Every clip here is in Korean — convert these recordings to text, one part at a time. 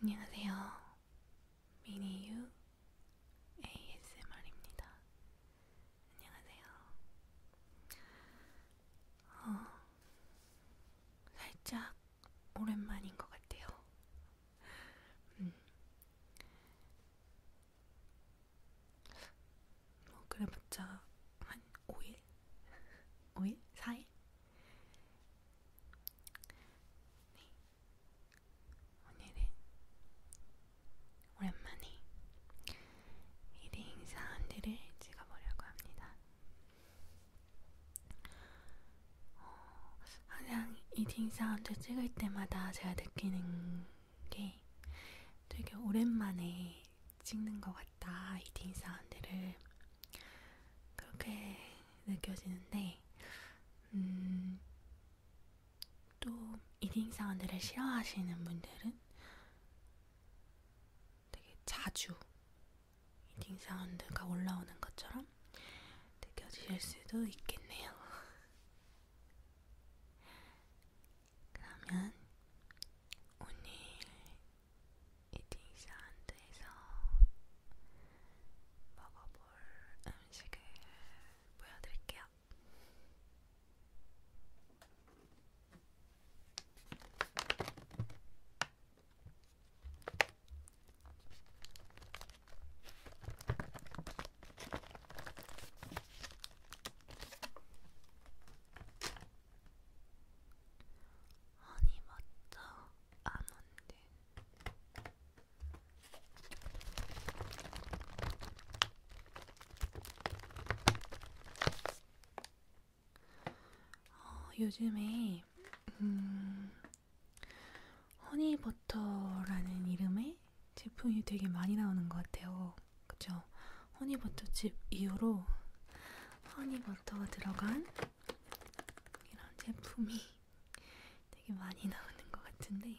안녕하세요. 미니유 ASMR입니다. 안녕하세요. 어, 살짝 오랜만인 것 같아요. 음. 뭐 그래봤자 한 5일? 5일? 4일? 네. 오늘은 오랜만에 리딩 사운드를 찍어보려고 합니다. 어, 항상 리딩 사운드 찍을 때마다 제가 느끼는 게 되게 오랜만에 찍는 것 같다. 리딩 사운드를 그렇게 느껴지는데, 음, 또, 이딩 사운드를 싫어하시는 분들은 되게 자주 이딩 사운드가 올라오는 것처럼 느껴지실 수도 있겠네요. 그러면 오늘 이팅 샤운드에서 먹어볼 음식을 보여드릴게요. 아니 맞죠? 안 온대. 어, 요즘에 음, 허니버터라는 이름의 제품이 되게 많이 나오는 것 같아요. 그쵸? 허니버터집 이후로 허니버터가 들어간 이런 제품이 되게 많이 나오는 것 같은데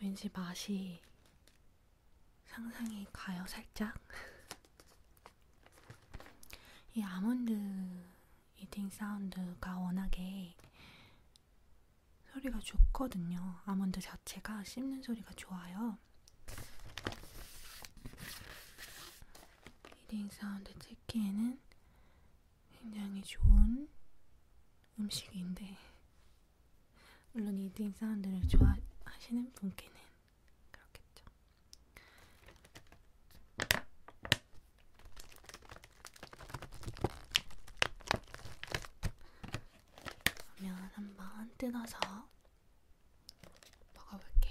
왠지 맛이 상상이 가요, 살짝. 이 아몬드 이팅 사운드가 워낙에 소리가 좋거든요. 아몬드 자체가 씹는 소리가 좋아요. 이팅 사운드 찍기에는 굉장히 좋은 음식인데 물론 이딩 사운드를 좋아하시는 분께는 그렇겠죠. 그러면 한번 뜯어서 먹어볼게요.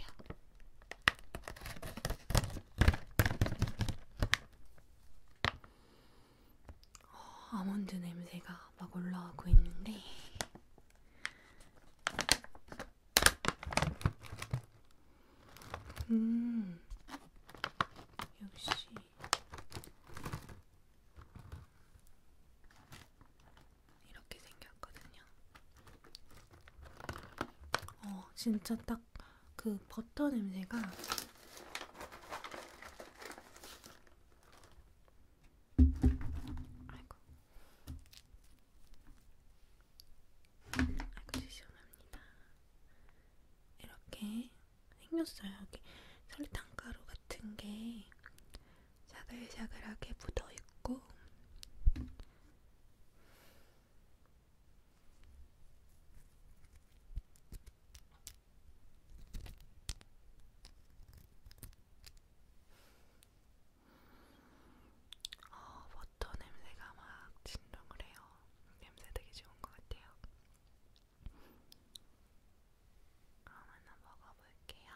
어, 아몬드 냄새가 막 올라오고 있는데 음 역시 이렇게 생겼거든요. 어 진짜 딱 그 버터 냄새가 아이고. 아이고 시원합니다. 이렇게 생겼어요. 여기 설탕가루 같은 게 자글자글하게 묻어 있고. 어, 버터 냄새가 막 진동을 해요. 냄새 되게 좋은 것 같아요. 그럼 하나 먹어볼게요.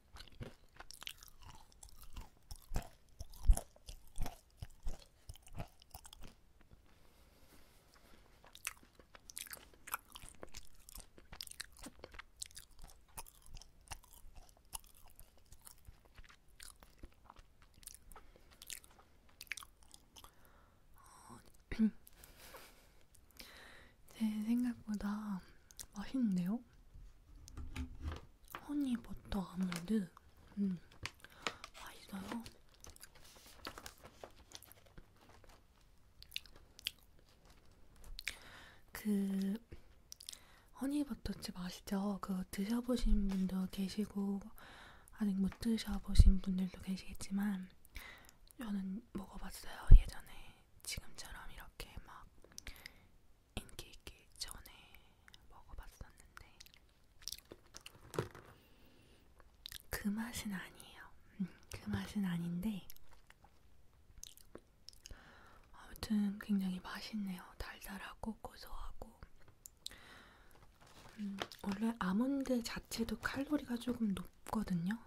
제 음. 네, 생각보다 맛있는데요? 볼까요? 허니버터 아몬드 음, 맛있어요. 그 허니버터칩 아시죠? 그 드셔보신 분도 계시고 아직 못 드셔보신 분들도 계시겠지만 저는 먹어봤어요 예전에 지금처럼 이렇게 막 인기 있기 전에 먹어봤었는데 그 맛은 아니에요. 음, 그 맛은 아닌데 아무튼 굉장히 맛있네요. 달달하고 고소하고 음, 원래 아몬드 자체도 칼로리가 조금 높거든요.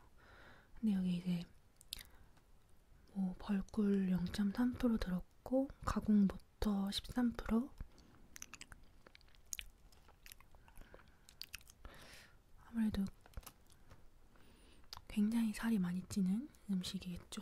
근데 여기 이제 뭐 벌꿀 0.3% 들었고 가공 모터 13% 아무래도 굉장히 살이 많이 찌는 음식이겠죠.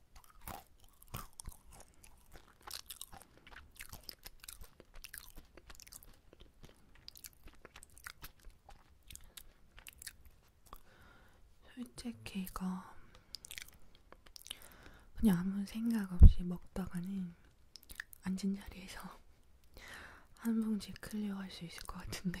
솔직히 이거 그냥 아무 생각 없이 먹다가는 앉은 자리에서 한 봉지 클리어 할 수 있을 것 같은데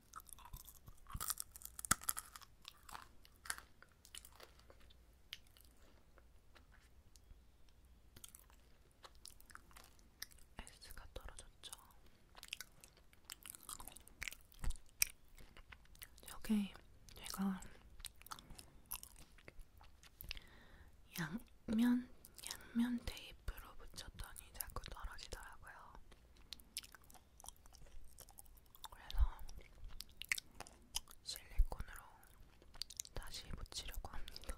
S가 떨어졌죠. 저게 제가 양면 양면 테이프로 붙였더니 자꾸 떨어지더라고요. 그래서 실리콘으로 다시 붙이려고 합니다.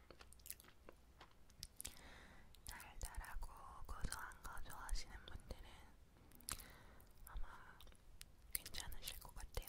달달하고 고소한 거 좋아하시는 분들은 아마 괜찮으실 것 같아요.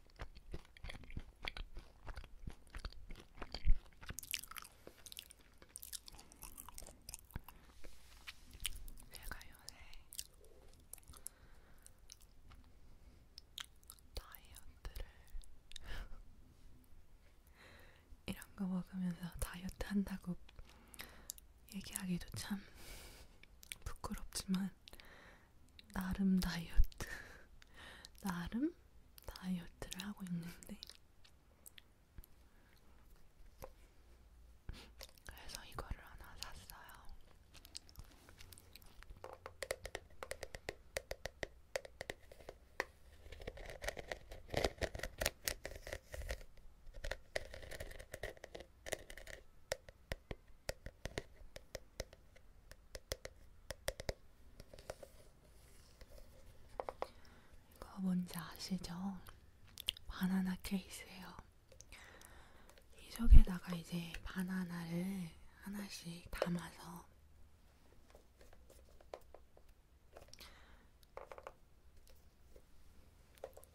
제가 요새 네. 다이어트를 이런 거 먹으면서 다이어트 한다고 얘기하기도 참 부끄럽지만 나름 다이어트, 나름 다이어트를 하고 있는데, 그래서 이거를 하나 샀어요. 이거 뭔지 아시죠? 바나나 케이스예요. 이 속에다가 이제 바나나를 하나씩 담아서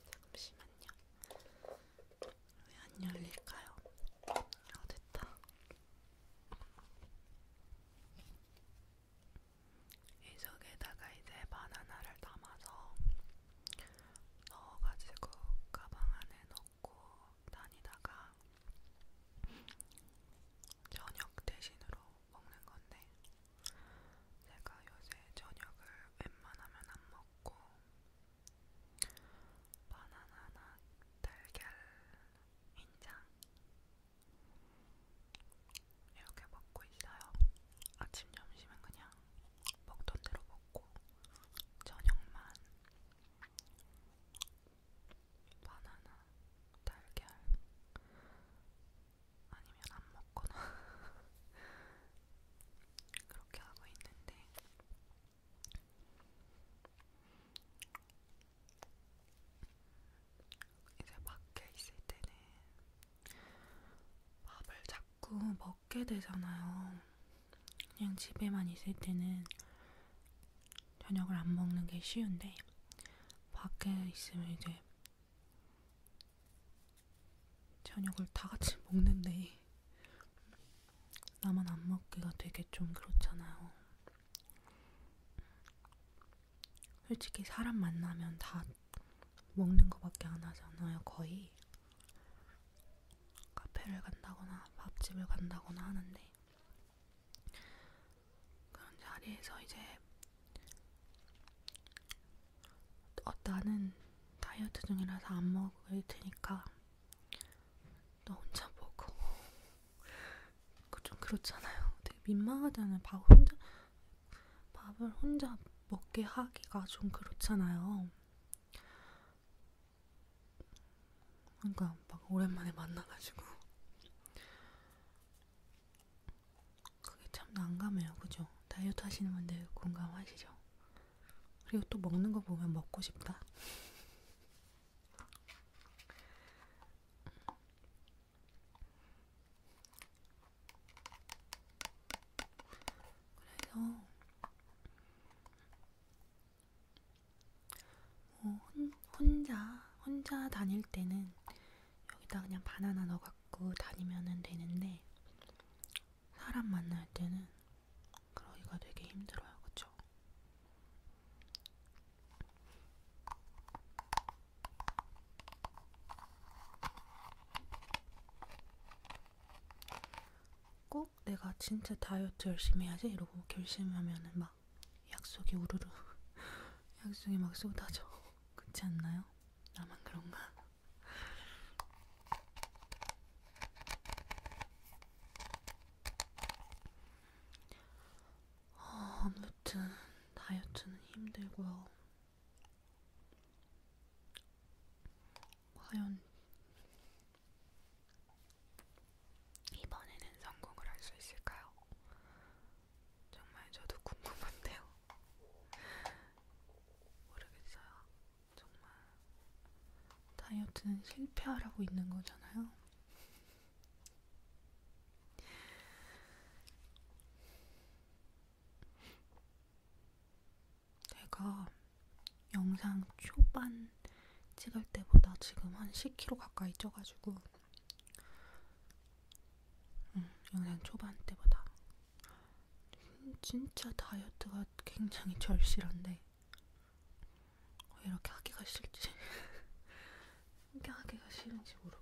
잠시만요. 왜안 열릴까요? 아 됐다. 이 속에다가 이제 바나나를 담아서 넣어가지고 가방 안에 넣고 다니다가 저녁 대신으로 먹는 건데 제가 요새 저녁을 웬만하면 안 먹고 바나나나 달걀 인장 이렇게 먹고 있어요. 아침 점심은 그냥 먹던 대로 먹고 저녁만 바나나 달걀 아니면 안 먹거나 그렇게 하고 있는데 이제 밖에 있을 때는 밥을 자꾸 먹게 되잖아요. 그냥 집에만 있을 때는 저녁을 안 먹는 게 쉬운데 밖에 있으면 이제 저녁을 다 같이 먹는데 먹지. 나만 안 먹기가 되게 좀 그렇잖아요. 솔직히 사람 만나면 다 먹는 거밖에 안 하잖아요, 거의. 카페를 간다거나 밥집을 간다거나 하는데. 그런 자리에서 이제 어, 나는 다이어트 중이라서 안 먹을 테니까 나 혼자 먹어. 그좀 그렇잖아요. 되게 민망하잖아요. 밥 혼자 밥을 혼자 먹게 하기가 좀 그렇잖아요. 그러니까 막 오랜만에 만나가지고 그게 참 난감해요, 그죠? 다이어트 하시는 분들 공감하시죠? 그리고 또 먹는 거 보면 먹고 싶다. 그래서 뭐 혼, 혼자 혼자 다닐 때는 여기다 그냥 바나나 넣어갖고 다니면 되는데 사람 만날 때는 그러기가 되게 힘들어요, 그쵸? 꼭 내가 진짜 다이어트 열심히 해야지 이러고 결심하면은 막 약속이 우르르 약속이 막 쏟아져 그렇지 않나요? 나만 그런가? 아무튼 다이어트는 힘들고요. 과연 이번에는 성공을 할 수 있을까요? 정말 저도 궁금한데요. 모르겠어요. 정말 다이어트는 실패하라고 있는 거잖아요. 내가 영상 초반 찍을 때보다 지금 한 10kg 가까이 쪄가지고 응, 영상 초반 때보다 진짜 다이어트가 굉장히 절실한데 왜 이렇게 하기가 싫지? 이렇게 하기가 싫은지 모르겠어요.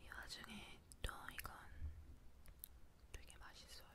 이 와중에 또 이건 되게 맛있어요.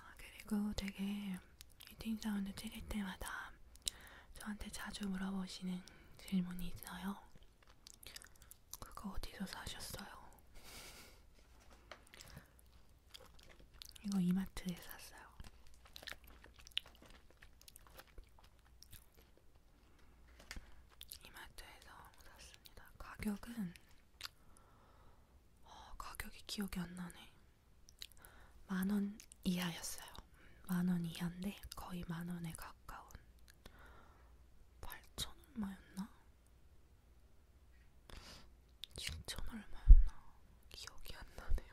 아, 그리고 되게 히팅 사운드 찍을 때마다 저한테 자주 물어보시는 질문이 있어요. 그거 어디서 사셨어요? 이거 이마트에 샀어요. 이마트에서 샀습니다. 가격은 어, 가격이 기억이 안 나네. 만원 이하였어요. 만 원 이하인데 거의 만원에 가까운 8천 얼마였나? 6천 얼마였나? 기억이 안 나네요.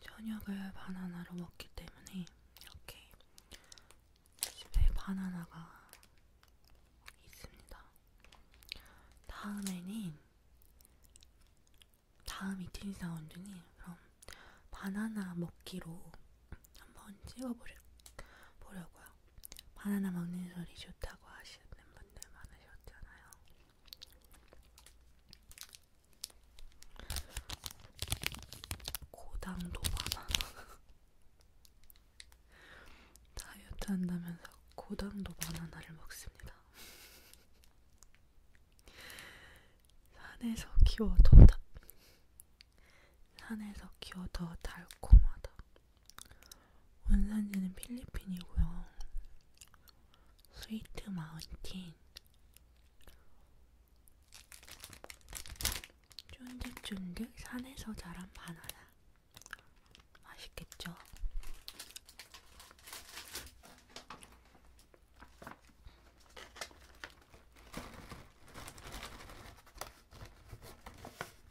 저녁을 바나나로 먹기 때문에 이렇게 집에 바나나가 있습니다. 다음에는 다음 이틀 사운드는 그럼 바나나 먹기로 한번 찍어보려고요. 바나나 먹는 소리 좋다고 하시는 분들 많으셨잖아요. 고당도 바나나. 다이어트 한다면서 고당도 바나나를 먹습니다. 산에서 키워 더 다, 산에서 키워 더 달콤하다. 원산지는 필리핀이고요. 스위트 마운틴 쫀득쫀득 산에서 자란 바나나 맛있겠죠?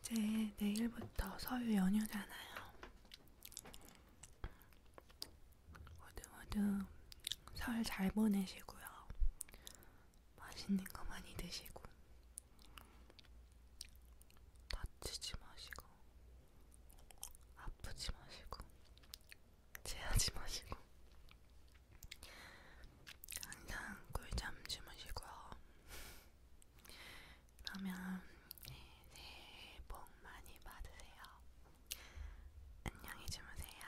이제 내일부터 서유 연휴잖아요. 모두 모두 설잘 보내시고요. 맛있는 거 많이 드시고 다치지 마시고 아프지 마시고 체하지 마시고 항상 꿀잠 주무시고요. 그러면 네, 새해 복 많이 받으세요. 안녕히 주무세요.